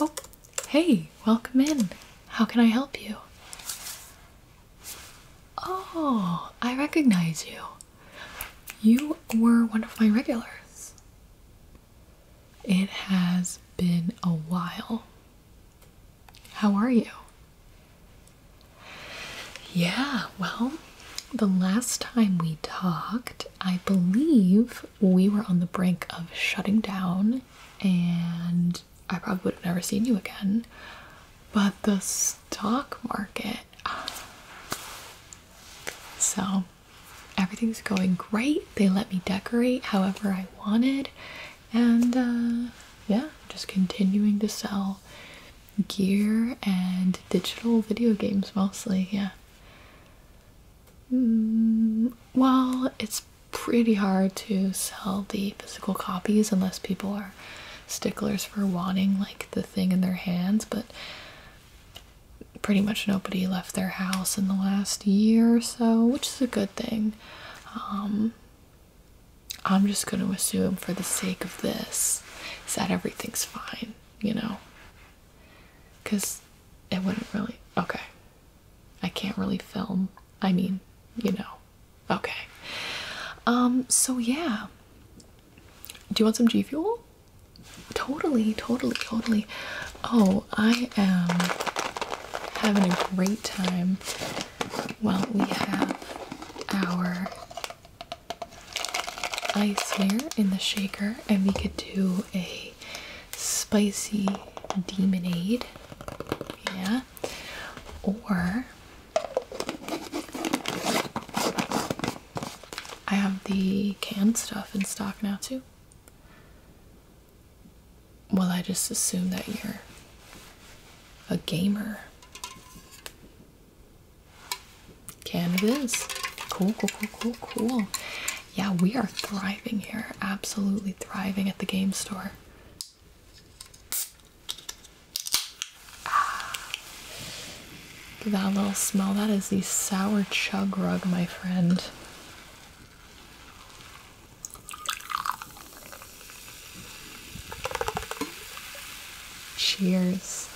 Oh, hey, welcome in. How can I help you? Oh, I recognize you. You were one of my regulars. It has been a while. How are you? Yeah, well, the last time we talked, I believe we were on the brink of shutting down, and I probably would have never seen you again. But the stock market. So everything's going great. They let me decorate however I wanted, and uh, yeah, just continuing to sell gear and digital video games mostly, yeah. Mm, well, it's pretty hard to sell the physical copies unless people are sticklers for wanting like the thing in their hands, but pretty much nobody left their house in the last year or so, which is a good thing. Um, I'm just going to assume, for the sake of this, is that everything's fine, you know? because it wouldn't really. Okay. I can't really film. I mean, you know. Okay. Um, so yeah. Do you want some G Fuel? Totally, totally, totally. Oh, I am having a great time. While we have our ice here in the shaker, and we could do a spicy demonade. Yeah. Or I have the canned stuff in stock now too. Well, I just assume that you're a gamer. Canvas. Cool, cool, cool, cool, cool. Yeah, we are thriving here. Absolutely thriving at the game store. Ah, that little smell. That is the sour chug rug, my friend. Cheers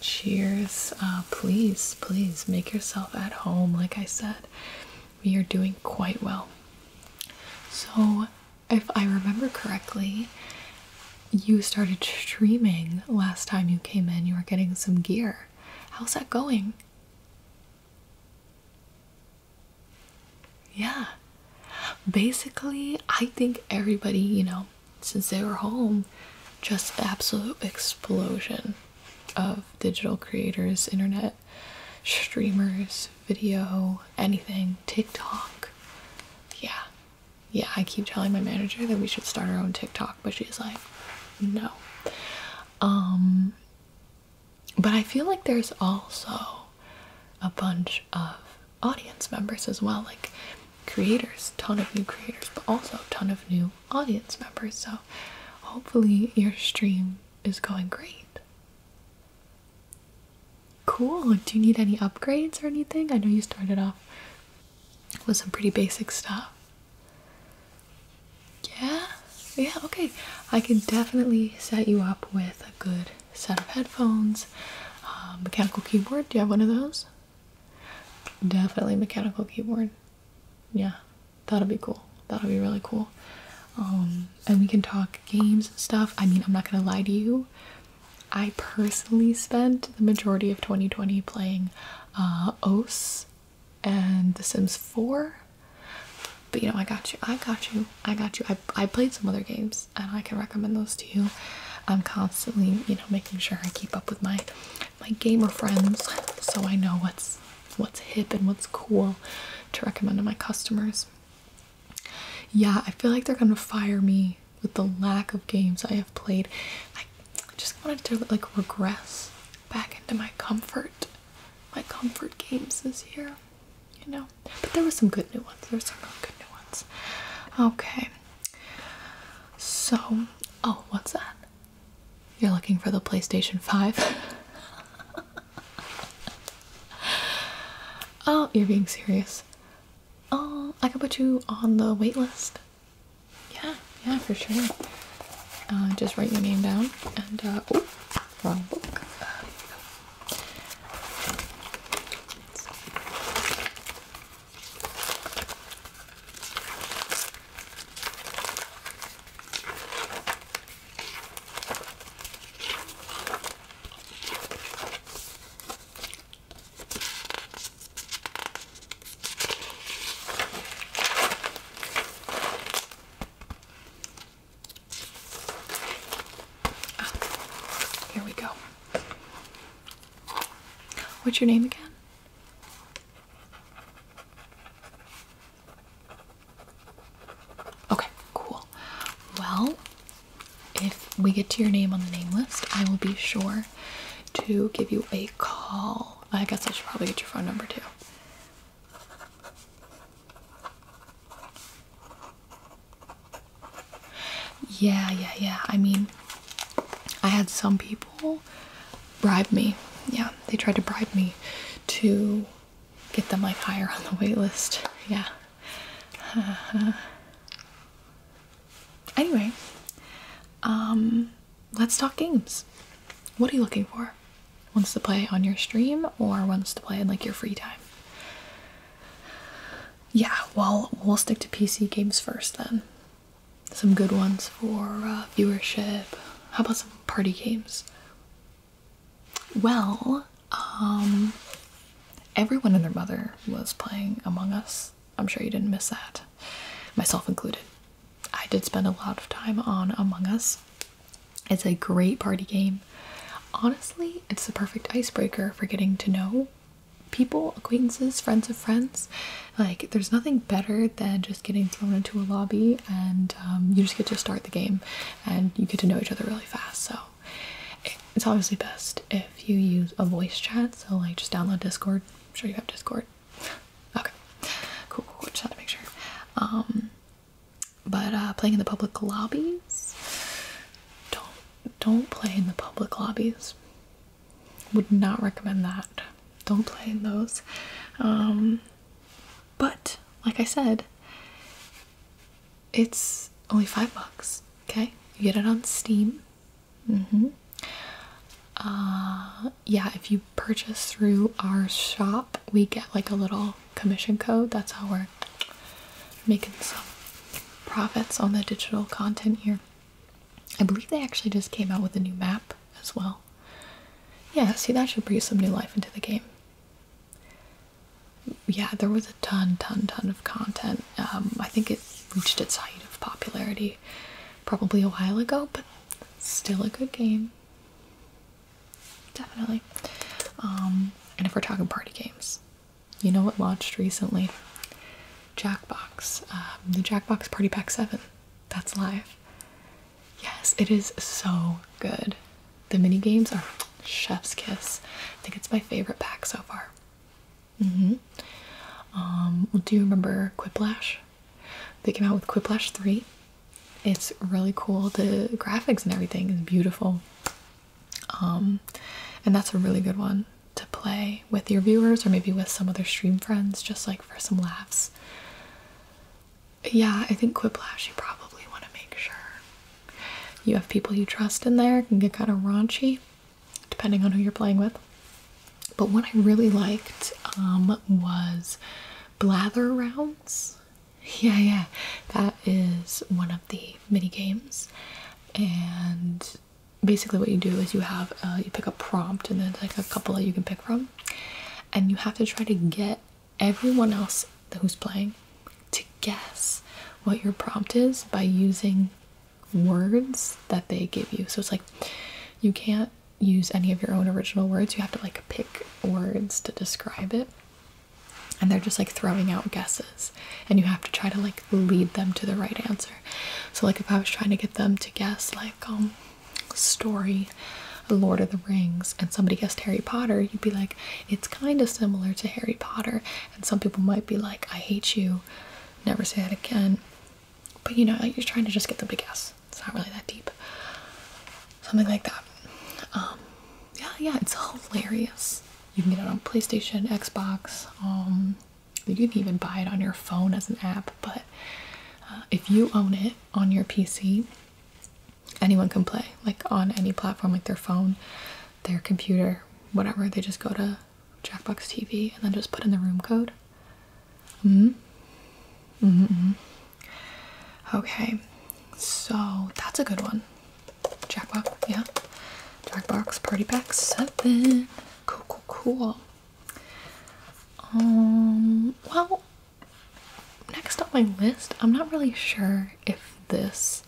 cheers uh, please please make yourself at home like i said we are doing quite well so if i remember correctly you started streaming last time you came in you were getting some gear how's that going yeah basically i think everybody you know since they were home just absolute explosion of digital creators internet streamers video anything tiktok yeah yeah i keep telling my manager that we should start our own tiktok but she's like no um but i feel like there's also a bunch of audience members as well like creators, ton of new creators, but also ton of new audience members. So hopefully your stream is going great. Cool. Do you need any upgrades or anything? I know you started off with some pretty basic stuff. Yeah? Yeah, okay. I can definitely set you up with a good set of headphones, uh, mechanical keyboard. Do you have one of those? Definitely mechanical keyboard. Yeah, that'll be cool. That'll be really cool. Um, and we can talk games and stuff. I mean, I'm not gonna lie to you. I personally spent the majority of 2020 playing uh, OS and The Sims 4. But you know, I got you. I got you. I got you. I, I played some other games and I can recommend those to you. I'm constantly, you know, making sure I keep up with my my gamer friends so I know what's what's hip and what's cool to recommend to my customers. Yeah, I feel like they're gonna fire me with the lack of games I have played. I, just wanted to like regress back into my comfort, my comfort games this year, you know. But there were some good new ones. There were some good new ones. Okay, so, oh, what's that? You're looking for the PlayStation 5? oh, you're being serious. Oh, I can put you on the wait list. Yeah, yeah, for sure. Uh, just write your name down and, uh, oh, wrong book. Uh, here we go. What's your name again? Okay, cool. Well, if we get to your name on the name list, I will be sure to give you a call. I guess I should probably get your phone number too. Yeah, yeah, yeah. I mean, I had some people bribe me. Yeah, they tried to bribe me to get them like higher on the waitlist, Yeah. anyway, um, let's talk games. What are you looking for? Wants to play on your stream or wants to play in like your free time? Yeah, well, we'll stick to PC games first then some good ones for uh, viewership. How about some party games? Well, um, everyone and their mother was playing Among Us. I'm sure you didn't miss that, myself included. I did spend a lot of time on Among Us. It's a great party game. Honestly, it's the perfect icebreaker for getting to know people, acquaintances, friends of friends. Like, there's nothing better than just getting thrown into a lobby and um, you just get to start the game and you get to know each other really fast. So, it's obviously best if you use a voice chat. So, like, just download Discord. I'm sure you have Discord. Okay, cool, cool, cool. Just had to make sure. Um, but uh, playing in the public lobbies, don't don't play in the public lobbies. Would not recommend that. Don't play in those. Um, but like I said, it's only five bucks. Okay, you get it on Steam. Mm-hmm. Uh, yeah, if you purchase through our shop, we get like a little commission code. That's how we're making some profits on the digital content here. I believe they actually just came out with a new map as well. Yeah, see, that should breathe some new life into the game. Yeah, there was a ton, ton, ton of content. Um, I think it reached its height of popularity probably a while ago, but still a good game. Definitely. Um, and if we're talking party games, you know what launched recently? Jackbox, um, the Jackbox Party Pack 7. That's live. Yes, it is so good. The mini games are chef's kiss. I think it's my favorite pack so far. Mm-hmm. Um, do you remember Quiplash? They came out with Quiplash 3. It's really cool. The graphics and everything is beautiful. Um, and that's a really good one to play with your viewers or maybe with some other stream friends just like for some laughs. Yeah, I think Quiplash you probably want to make sure you have people you trust in there. can get kind of raunchy depending on who you're playing with. But what I really liked um, was Blather Rounds. Yeah, yeah. That is one of the mini games. And basically what you do is you have uh, you pick a prompt and then like a couple that you can pick from and you have to try to get everyone else who's playing to guess what your prompt is by using words that they give you so it's like you can't use any of your own original words you have to like pick words to describe it and they're just like throwing out guesses and you have to try to like lead them to the right answer so like if I was trying to get them to guess like um story Lord of the Rings and somebody guessed Harry Potter, you'd be like, it's kind of similar to Harry Potter. And some people might be like, I hate you, never say that again. But you know, like you're trying to just get them to guess. It's not really that deep. Something like that. Um, yeah, yeah, it's hilarious. You can get it on PlayStation, Xbox, um, you can even buy it on your phone as an app, but uh, if you own it on your PC, anyone can play like on any platform, like their phone, their computer, whatever. They just go to Jackbox TV and then just put in the room code. Mm hmm. Mm Okay, so that's a good one. Jackbox, yeah. Jackbox Party Pack 7. Cool, cool, cool. Um, well, next on my list, I'm not really sure if this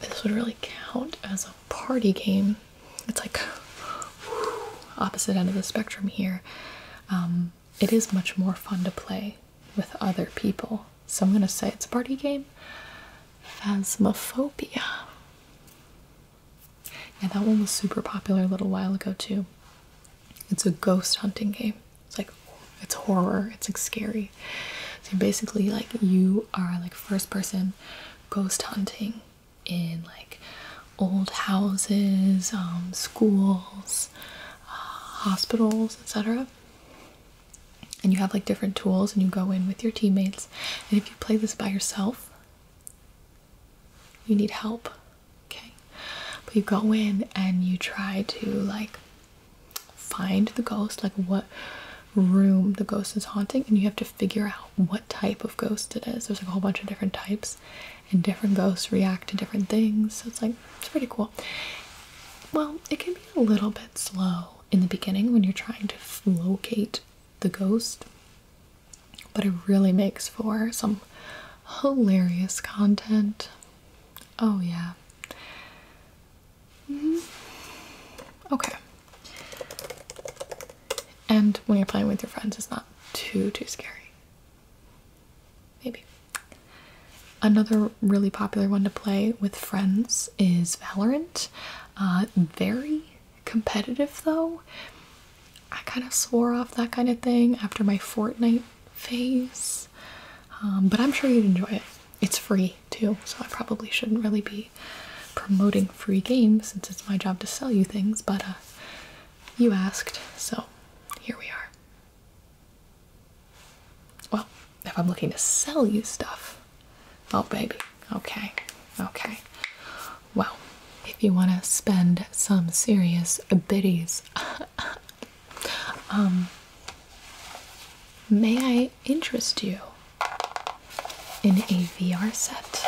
this would really count as a party game. It's like opposite end of the spectrum here. Um, it is much more fun to play with other people. So I'm gonna say it's a party game. Phasmophobia. Yeah, that one was super popular a little while ago too. It's a ghost hunting game. It's like it's horror. It's like scary. So basically, like you are like first person ghost hunting in like old houses, um, schools, uh, hospitals, etc. And you have like different tools, and you go in with your teammates. And if you play this by yourself, you need help, okay? But you go in and you try to like find the ghost, like what room the ghost is haunting, and you have to figure out what type of ghost it is. There's like a whole bunch of different types, and different ghosts react to different things. So it's like it's pretty cool. Well, it can be a little bit slow in the beginning when you're trying to locate the ghost but it really makes for some hilarious content. Oh, yeah. Mm-hmm. Okay. And when you're playing with your friends, it's not too, too scary. Maybe. Another really popular one to play with friends is Valorant. Uh, very competitive though. I kind of swore off that kind of thing after my Fortnite phase. Um, but I'm sure you'd enjoy it. It's free too, so I probably shouldn't really be promoting free games since it's my job to sell you things, but uh, you asked, so here we are. Well, if I'm looking to sell you stuff. Oh, baby. Okay. Okay. Well, if you want to spend some serious biddies, um, may I interest you in a VR set?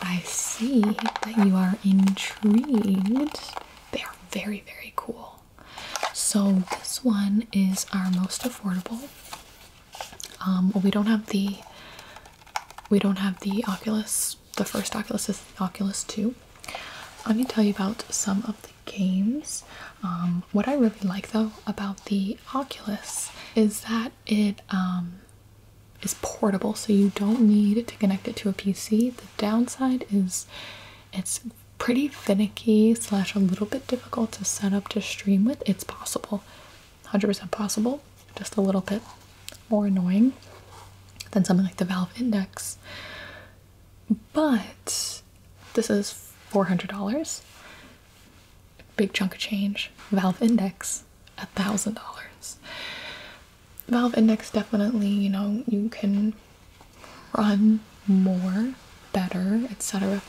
I see that you are intrigued. They are very, very cool. So, this one is our most affordable. Um, we don't have the we don't have the Oculus. The first Oculus is Oculus Two. I'm gonna tell you about some of the games. Um, what I really like though about the Oculus is that it um, is portable, so you don't need to connect it to a PC. The downside is it's pretty finicky slash a little bit difficult to set up to stream with, it's possible. 100% possible, just a little bit more annoying than something like the Valve Index. But this is $400, big chunk of change. Valve Index, $1,000. Valve Index definitely, you know, you can run more, better, etc.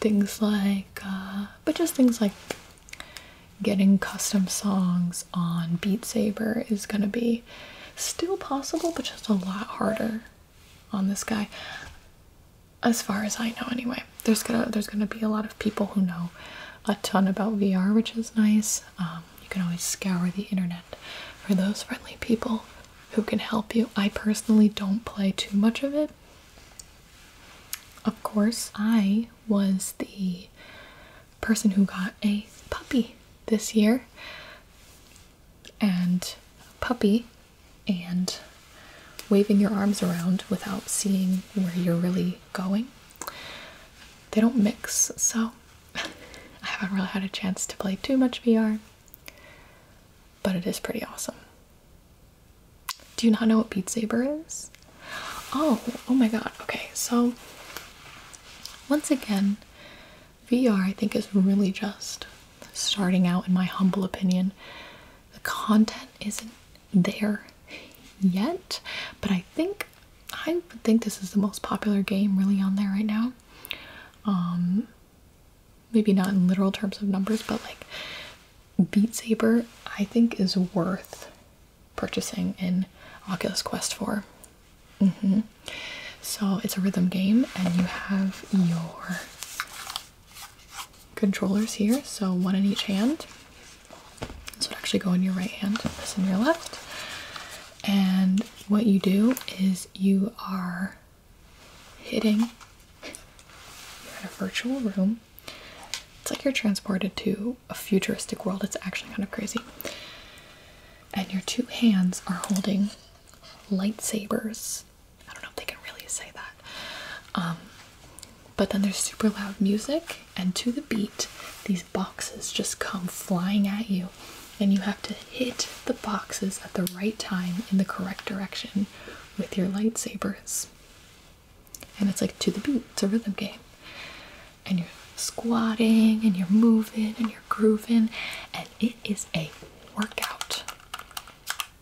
Things like, uh, but just things like getting custom songs on Beat Saber is going to be still possible, but just a lot harder on this guy. As far as I know, anyway, there's gonna there's gonna be a lot of people who know a ton about VR, which is nice. Um, you can always scour the internet for those friendly people who can help you. I personally don't play too much of it of course, I was the person who got a puppy this year. And a puppy and waving your arms around without seeing where you're really going. They don't mix, so I haven't really had a chance to play too much VR, but it is pretty awesome. Do you not know what Beat Saber is? Oh, oh my god. Okay, so once again, VR I think is really just starting out, in my humble opinion. The content isn't there yet, but I think I think this is the most popular game really on there right now. Um, maybe not in literal terms of numbers, but like Beat Saber, I think is worth purchasing in Oculus Quest 4. Mm-hmm. So it's a rhythm game, and you have your controllers here, so one in each hand. This would actually go in your right hand, this in your left. And what you do is you are hitting in a virtual room it's like you're transported to a futuristic world it's actually kind of crazy and your two hands are holding lightsabers i don't know if they can really say that um, but then there's super loud music and to the beat these boxes just come flying at you and you have to hit the boxes at the right time in the correct direction with your lightsabers. And it's like to the beat, it's a rhythm game. And you're squatting and you're moving and you're grooving, and it is a workout.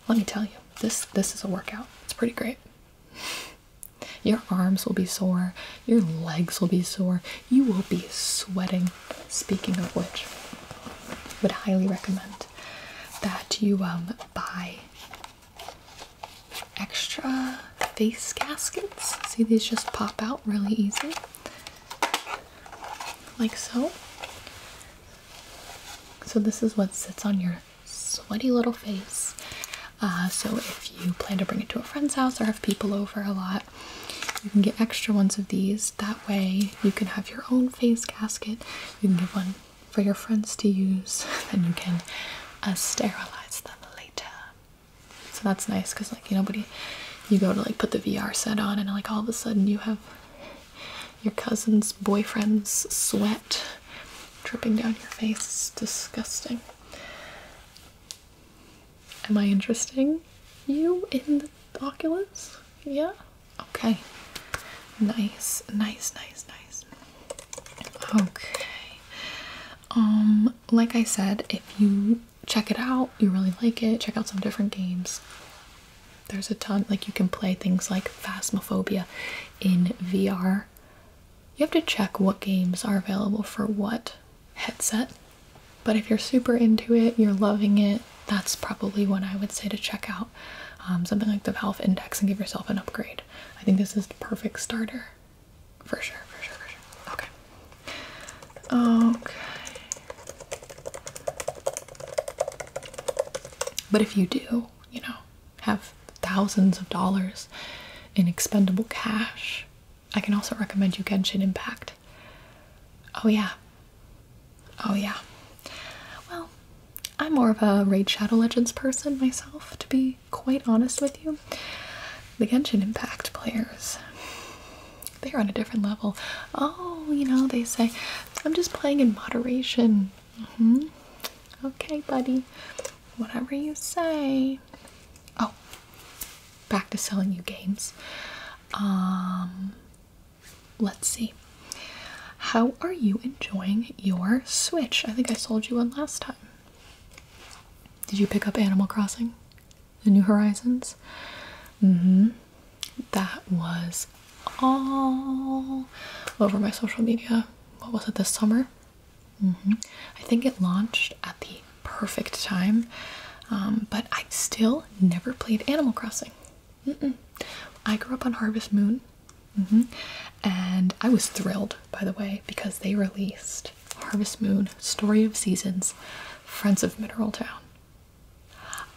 Let me tell you, this this is a workout. It's pretty great. Your arms will be sore, your legs will be sore, you will be sweating. Speaking of which, would highly recommend that you um, buy extra face gaskets. See, these just pop out really easy, like so. So, this is what sits on your sweaty little face. Uh, so, if you plan to bring it to a friend's house or have people over a lot, you can get extra ones of these. That way, you can have your own face gasket. You can give one for your friends to use, then you can uh, sterilize them later. So that's nice because, like, you know, buddy, you go to like put the VR set on, and like all of a sudden you have your cousin's boyfriend's sweat dripping down your face. disgusting. Am I interesting? You in the Oculus? Yeah? Okay. Nice, nice, nice, nice. Okay. Um, like I said, if you check it out, you really like it, check out some different games. There's a ton, like you can play things like Phasmophobia in VR. You have to check what games are available for what headset. But if you're super into it, you're loving it, that's probably what I would say to check out out um, something like the Valve Index and give yourself an upgrade. I think this is the perfect starter. For sure, for sure, for sure. Okay. Okay. But if you do, you know, have thousands of dollars in expendable cash, I can also recommend you Genshin Impact. Oh, yeah. Oh yeah. Well, I'm more of a Raid Shadow Legends person myself, to be quite honest with you. The Genshin Impact players, they're on a different level. Oh, you know, they say, I'm just playing in moderation. hmm Okay, buddy. Whatever you say. Oh, back to selling you games. Um, let's see. How are you enjoying your Switch? I think I sold you one last time. Did you pick up Animal Crossing? The New Horizons? hmm That was all over my social media. What was it this summer? hmm I think it launched at the perfect time, um, but I still never played Animal Crossing. I grew up on Harvest Moon, mm-hmm. and I was thrilled, by the way, because they released Harvest Moon: Story of Seasons, Friends of Mineral Town.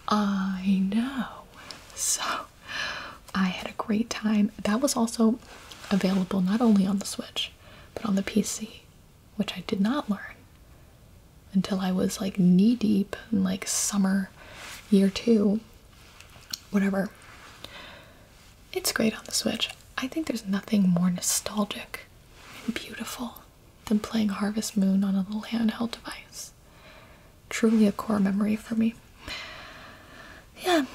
I know, so I had a great time. That was also available not only on the Switch but on the PC, which I did not learn until I was like knee deep in like summer year two whatever. It's great on the Switch. I think there's nothing more nostalgic and beautiful than playing Harvest Moon on a little handheld device. Truly a core memory for me. Yeah.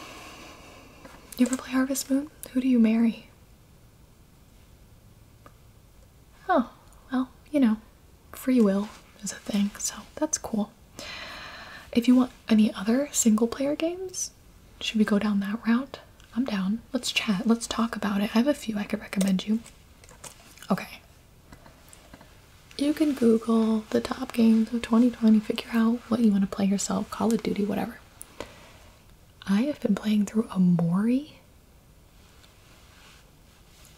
You ever play Harvest Moon? Who do you marry? Oh, well, you know, free will is a thing, so that's cool. If you want any other single player games, should we go down that route? I'm down. Let's chat. Let's talk about it. I have a few I could recommend you. Okay. You can Google the top games of 2020, figure out what you want to play yourself, Call of Duty, whatever. I have been playing through Amori.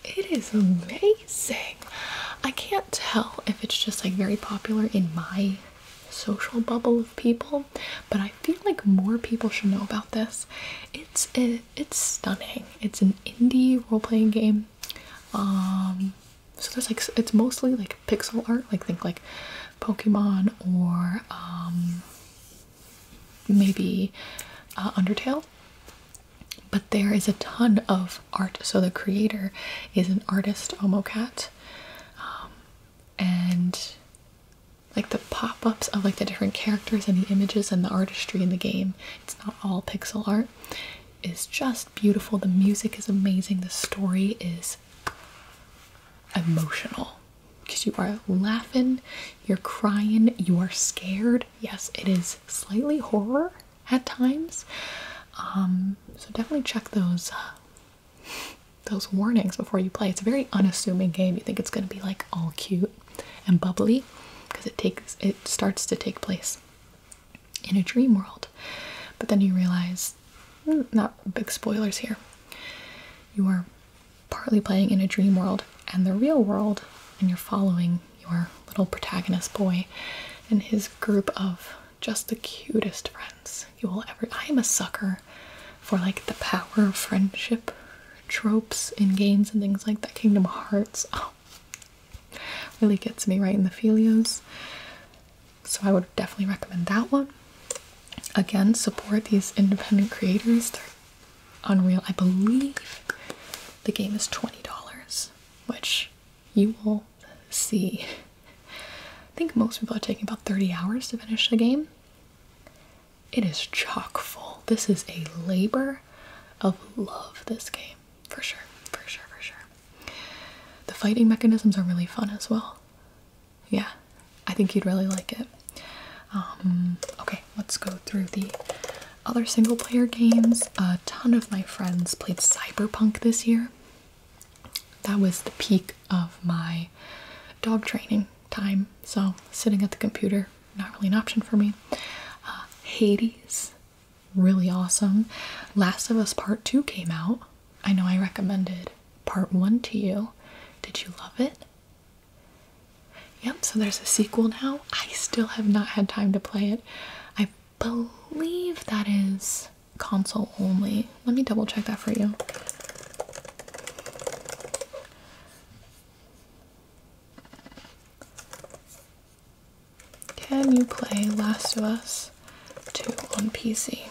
It is amazing. I can't tell if it's just like very popular in my social bubble of people, but I feel like more people should know about this. It's eh, it's stunning. It's an indie role-playing game. Um, so that's like it's mostly like pixel art, like think like Pokemon or um, maybe uh, Undertale but there is a ton of art. So the creator is an artist, Omocat, um, and like the pop-ups of like the different characters and the images and the artistry in the game. It's not all pixel art. Is just beautiful. The music is amazing. The story is emotional because you are laughing, you're crying, you are scared. Yes, it is slightly horror at times. Um, so definitely check those uh, those warnings before you play. It's a very unassuming game. You think it's going to be like all cute and bubbly because it takes it starts to take place in a dream world, but then you realize hmm, not big spoilers here. You are partly playing in a dream world and the real world, and you're following your little protagonist boy and his group of just the cutest friends you will ever. I am a sucker for like the power of friendship tropes in games and things like that. Kingdom Hearts, oh, really gets me right in the filios. So I would definitely recommend that one. Again, support these independent creators. unreal. I believe the game is twenty dollars, which you will see. I think most people are taking about 30 hours to finish the game. It is chock full. This is a labor of love, this game. For sure, for sure, for sure. The fighting mechanisms are really fun as well. Yeah, I think you'd really like it. Um, okay, let's go through the other single player games. A ton of my friends played Cyberpunk this year. That was the peak of my dog training time, so sitting at the computer, not really an option for me. Uh, Hades, really awesome. Last of Us Part 2 came out. I know I recommended Part 1 to you. Did you love it? Yep, so there's a sequel now. I still have not had time to play it. i believe that is console only. Let me double check that for you. Can you play Last of Us 2 on PC?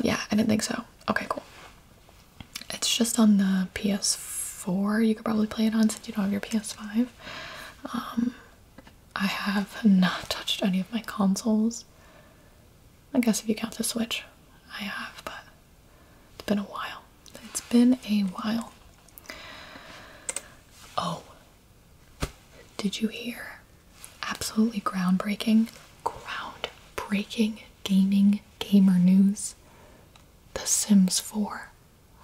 Yeah, I didn't think so. Okay, cool. It's just on the PS4. You could probably play it on since you don't have your PS5. I have not touched any of my consoles. I guess if you count the Switch, I have, but it's been a while. It's been a while. Oh, did you hear? Absolutely groundbreaking, groundbreaking gaming gamer news. The Sims 4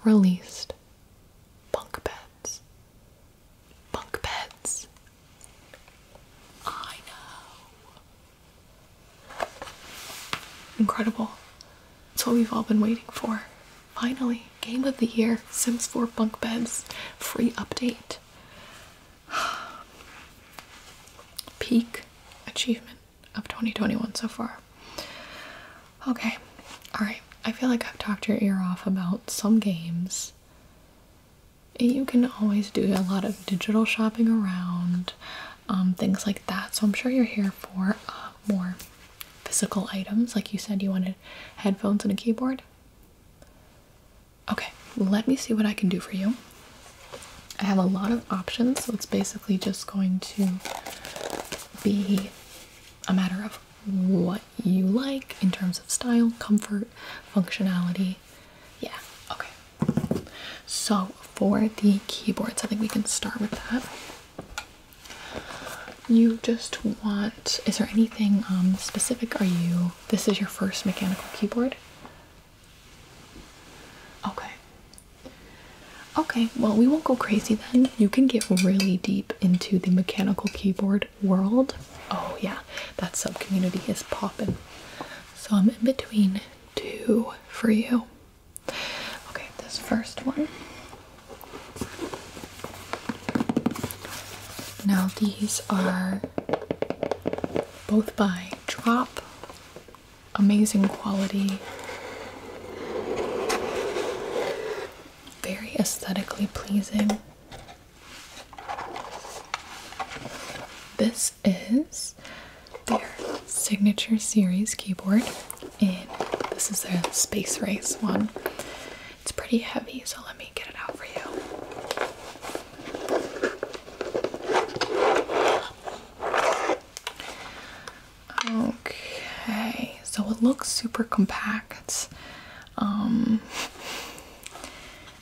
released. Bunk beds. Bunk beds. I know. Incredible. It's what we've all been waiting for. Finally, game of the year Sims 4 bunk beds free update. Peak achievement of 2021 so far. Okay, alright. I feel like I've talked your ear off about some games. You can always do a lot of digital shopping around, um, things like that. So I'm sure you're here for uh, more physical items. Like you said, you wanted headphones and a keyboard. Okay, let me see what I can do for you. I have a lot of options, so it's basically just going to be a matter of what you like in terms of style, comfort, functionality. Yeah, okay. So for the keyboards, I think we can start with that. You just want, is there anything um, specific? Are you, this is your first mechanical keyboard? Okay. Okay, well, we won't go crazy then. You can get really deep into the mechanical keyboard world. Oh yeah, that subcommunity is popping. So I'm in between two for you. Okay, this first one. Now these are both by Drop. Amazing quality very aesthetically pleasing. This is their signature series keyboard, and this is their Space Race one. It's pretty heavy, so let me get it out for you. Okay, so it looks super compact. Um,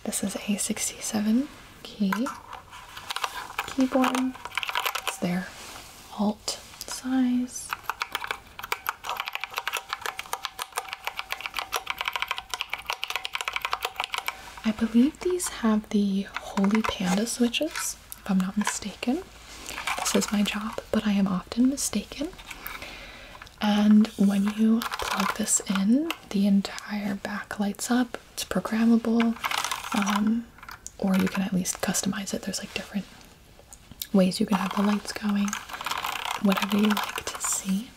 this is a 67 key keyboard. It's there. Alt size. I believe these have the Holy Panda switches, if I'm not mistaken. This is my job, but I am often mistaken. And when you plug this in, the entire back lights up. It's programmable, um, or you can at least customize it. There's like different ways you can have the lights going, whatever you like to see.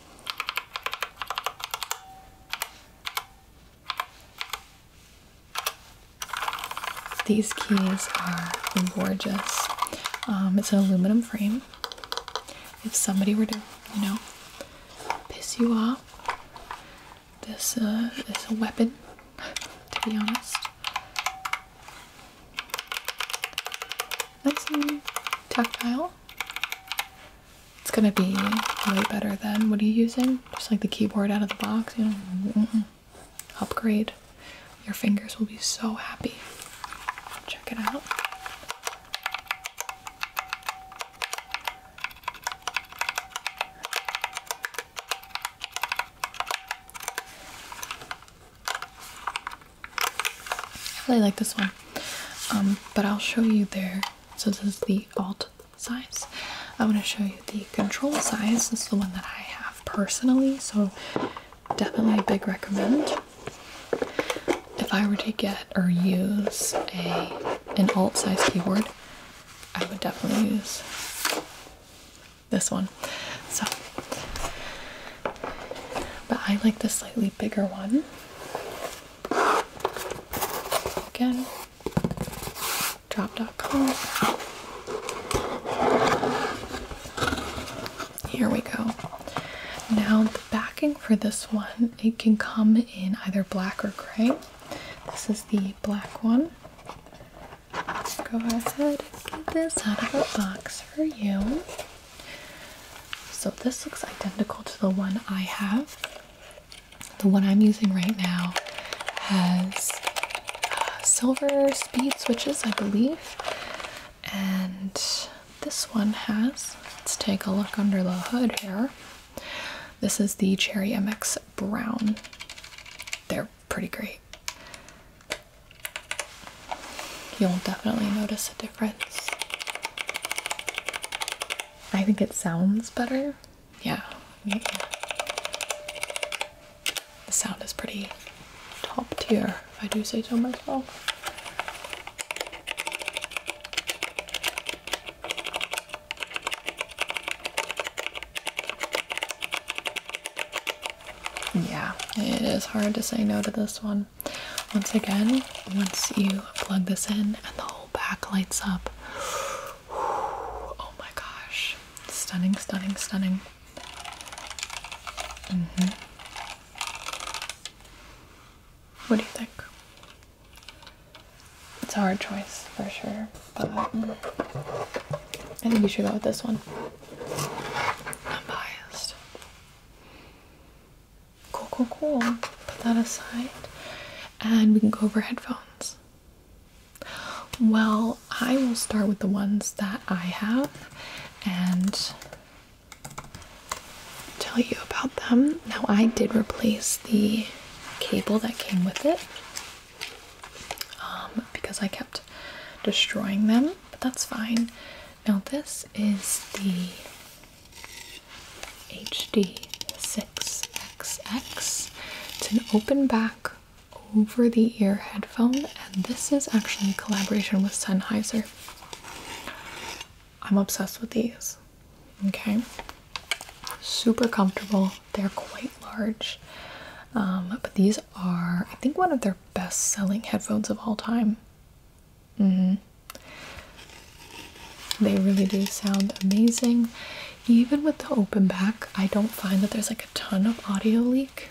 These keys are gorgeous. Um, it's an aluminum frame. If somebody were to, you know, piss you off, this uh, is a weapon, to be honest. Nice and tactile. It's gonna be way better than what are you using? Just like the keyboard out of the box, upgrade. Your fingers will be so happy. Check it out. I really like this one, um, but I'll show you there. So this is the alt size. I want to show you the control size. This is the one that I have personally. So definitely a big recommend. If I were to get or use a an alt size keyboard, I would definitely use this one. So but I like the slightly bigger one. Again, drop.com. Here we go. Now the backing for this one, it can come in either black or gray. This is the black one. go ahead get this out of the box for you. So this looks identical to the one I have. The one I'm using right now has uh, silver speed switches, I believe. And this one has, let's take a look under the hood here. This is the Cherry MX Brown. They're pretty great. You'll definitely notice a difference. I think it sounds better. yeah. The sound is pretty top tier, I do say so myself. Yeah, it is hard to say no to this one. Once again, once you plug this in and the whole back lights up. Oh my gosh. Stunning, stunning, stunning. Mm-hmm. What do you think? It's a hard choice for sure, but mm. I think you should go with this one. I'm biased. Cool, cool, cool. Put that aside, and we can go over headphones. Well, I will start with the ones that I have and tell you about them. Now, I did replace the cable that came with it um, because I kept destroying them, but that's fine. Now, this is the HD6XX. It's an open back over the ear headphone, and this is actually a collaboration with Sennheiser. I'm obsessed with these. Okay, super comfortable, they're quite large. Um, but these are, I think, one of their best selling headphones of all time. Mm-hmm. They really do sound amazing. Even with the open back, I don't find that there's like a ton of audio leak.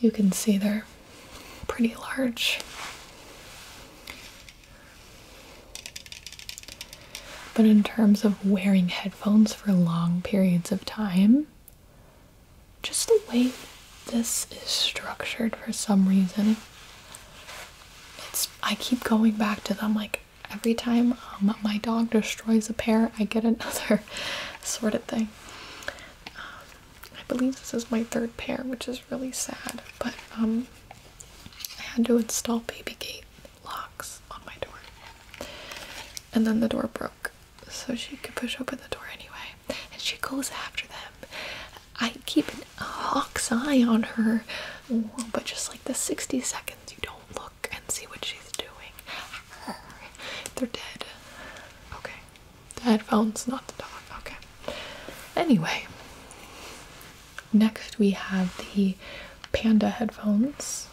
You can see they're pretty large. But in terms of wearing headphones for long periods of time, just the way this is structured for some reason, it's I keep going back to them like every time um, my dog destroys a pair, I get another sort of thing. Um, I believe this is my third pair, which is really sad, but um, I had to install baby gate locks on my door. And then the door broke, so she could push open the door anyway. And she goes after them. I keep a hawk's eye on her, but just like the 60 seconds. You don't look and see what she's doing. They're dead. Okay. The headphones, not the dog. Okay. Anyway, next we have the Panda headphones.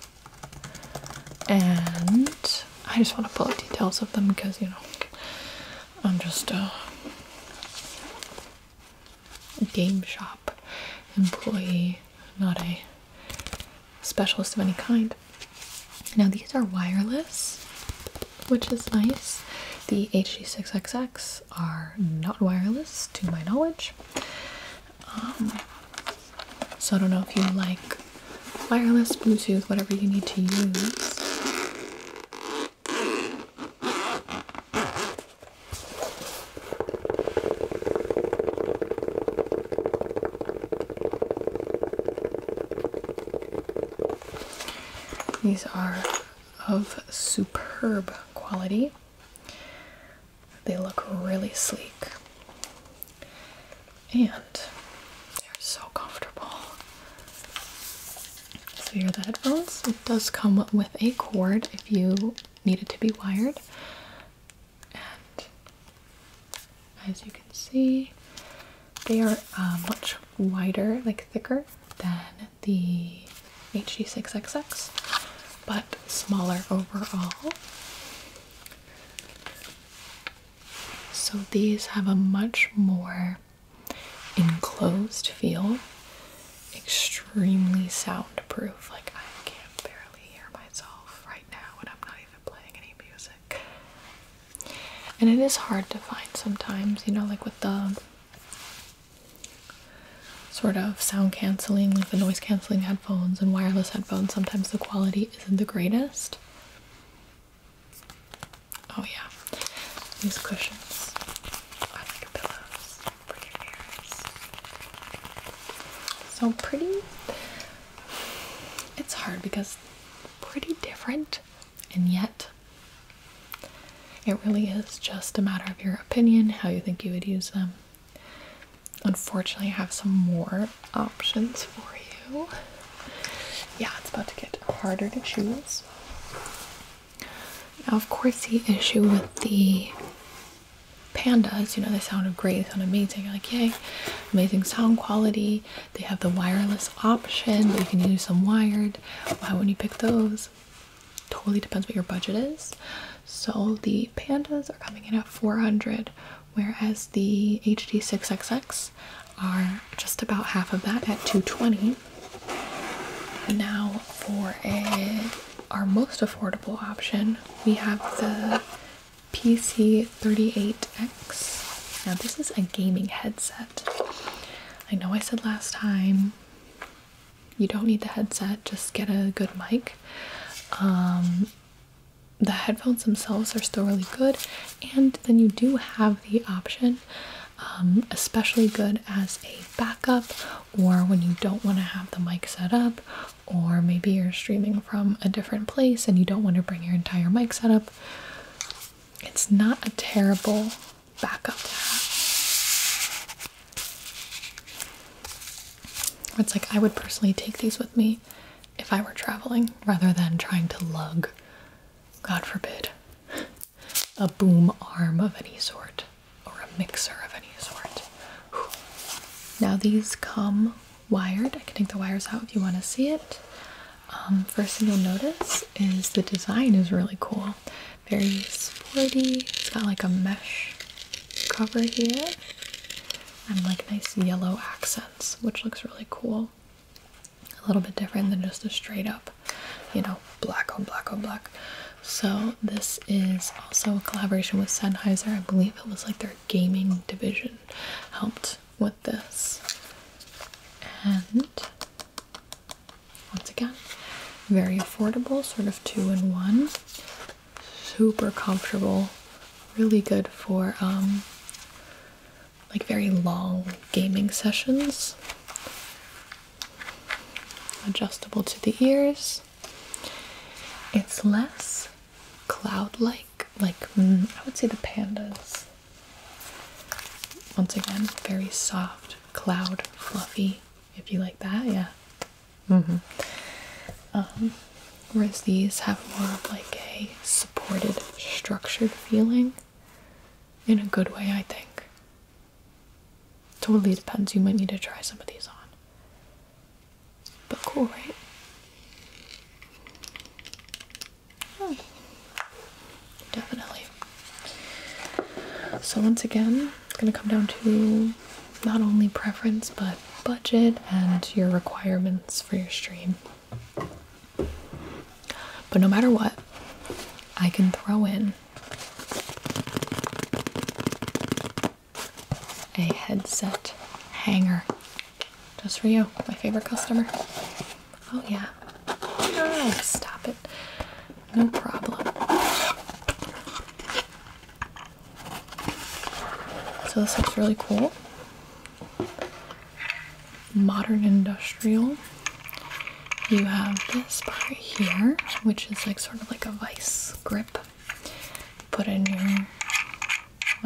And I just want to pull up details of them because, you know, I'm just a game shop employee, not a specialist of any kind. Now these are wireless, which is nice. The HD6XX are not wireless, to my knowledge. Um, so I don't know if you like wireless, Bluetooth, whatever you need to use. These are of superb quality. They look really sleek. And they're so comfortable. So here are the headphones. It does come with a cord if you need it to be wired as you can see, they are uh, much wider, like thicker, than the HD6XX, but smaller overall. So these have a much more enclosed feel, extremely soundproof. Like I can barely hear myself right now, and I'm not even playing any music. And it is hard to find sometimes, you know, like with the sort of sound canceling, like the noise canceling headphones and wireless headphones, sometimes the quality isn't the greatest. Oh, yeah. These cushions are like pillows for your ears. So pretty it's hard because pretty different and yet it really is just a matter of your opinion how you think you would use them unfortunately i have some more options for you yeah it's about to get harder to choose now of course the issue with the pandas you know they sound great they sound amazing like yay amazing sound quality they have the wireless option but you can use some wired why wouldn't you pick those totally depends what your budget is so the pandas are coming in at 400 whereas the hd6xx are just about half of that at 220 now for our most affordable option we have the PC38X. Now, this is a gaming headset. I know I said last time you don't need the headset, just get a good mic. Um, the headphones themselves are still really good, and then you do have the option, um, especially good as a backup or when you don't want to have the mic set up or maybe you're streaming from a different place and you don't want to bring your entire mic setup, it's not a terrible backup to have. It's like I would personally take these with me if I were traveling rather than trying to lug, God forbid, a boom arm of any sort or a mixer of any sort. Now, these come wired. I can take the wires out if you want to see it. Um, first thing you'll notice is the design is really cool. Very sporty. It's got like a mesh cover here and like nice yellow accents, which looks really cool. A little bit different than just a straight up, you know, black on black on black. So this is also a collaboration with Sennheiser. I believe it was like their gaming division helped with this. And once again, very affordable, sort of two in one. Super comfortable, really good for um, like very long gaming sessions. Adjustable to the ears. It's less cloud-like, like mm, I would say the pandas. Once again, very soft, cloud, fluffy. If you like that, yeah. Mm-hmm. Um, whereas these have more of like a supported, structured feeling. In a good way, I think. Totally depends. You might need to try some of these on. But cool, right? Definitely. So once again, it's going to come down to not only preference, but budget and your requirements for your stream. But no matter what, I can throw in a headset hanger just for you, my favorite customer. Oh, yeah. stop it. No problem. So, this looks really cool. Modern industrial. You have this part here, which is like sort of like a vice grip put in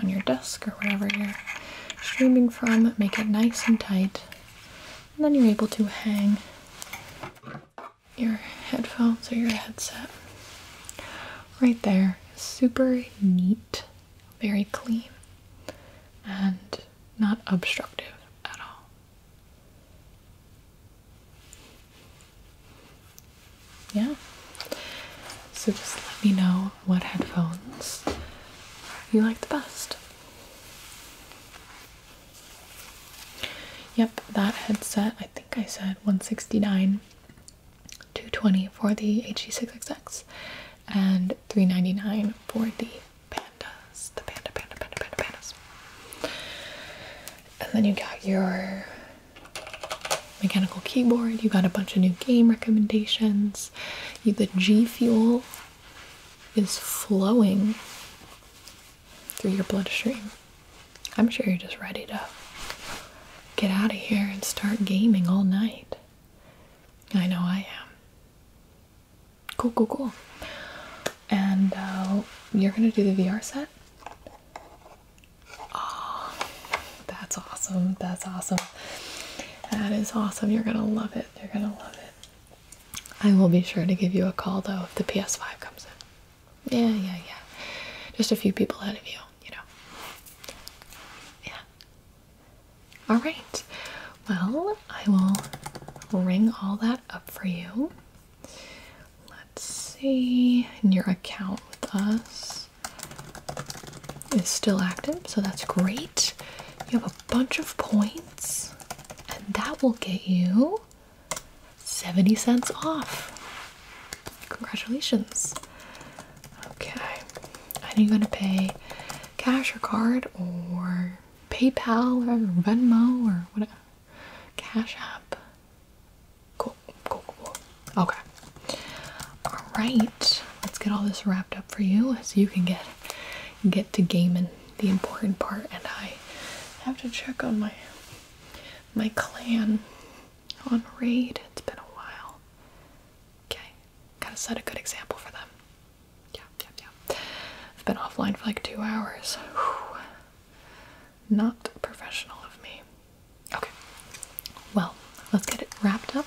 on your desk or wherever you're streaming from, make it nice and tight, and then you're able to hang your headphones or your headset right there. Super neat, very clean, and not obstructive at all yeah. So just let me know what headphones you like the best. Yep, that headset, I think I said 169 220 for the HD6XX and 399 for the pandas. The panda, panda, panda, panda, pandas. And then you got your mechanical keyboard. You got a bunch of new game recommendations. the G Fuel is flowing through your bloodstream. I'm sure you're just ready to get out of here and start gaming all night. I know I am. Cool, cool, cool. And uh, you're gonna do the VR set? that's awesome. That's awesome. That is awesome. You're going to love it. You're going to love it. I will be sure to give you a call though if the PS5 comes in. Yeah, yeah, yeah. Just a few people ahead of you, you know. Yeah. All right. Well, I will ring all that up for you. Let's see. in your account with us is still active, so that's great. You have a bunch of points, and that will get you 70 cents off. Congratulations. Okay, and you're going to pay cash or card or PayPal or Venmo or whatever. Cash App. Cool, cool, cool. Okay. All right. Let's get all this wrapped up for you so you can get get to gaming the important part. And I have to check on my my clan on raid. It's been a while. Okay. Gotta set a good example for them. Yeah, yeah, yeah. I've been offline for like two hours. Not professional of me. Okay. Well, let's get it wrapped up.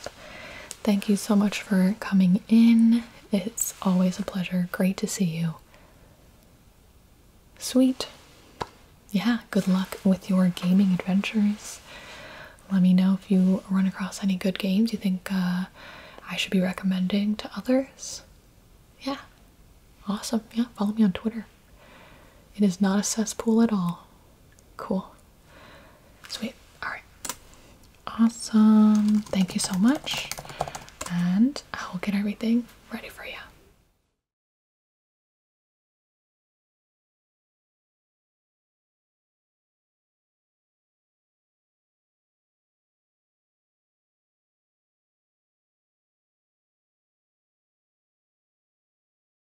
Thank you so much for coming in. It's always a pleasure. Great to see you. Sweet. Yeah, good luck with your gaming adventures. Let me know if you run across any good games you think uh, I should be recommending to others. Yeah, awesome. Yeah, follow me on Twitter. It is not a cesspool at all. Cool. Sweet. Alright. Awesome. Thank you so much. And I will get everything ready for you.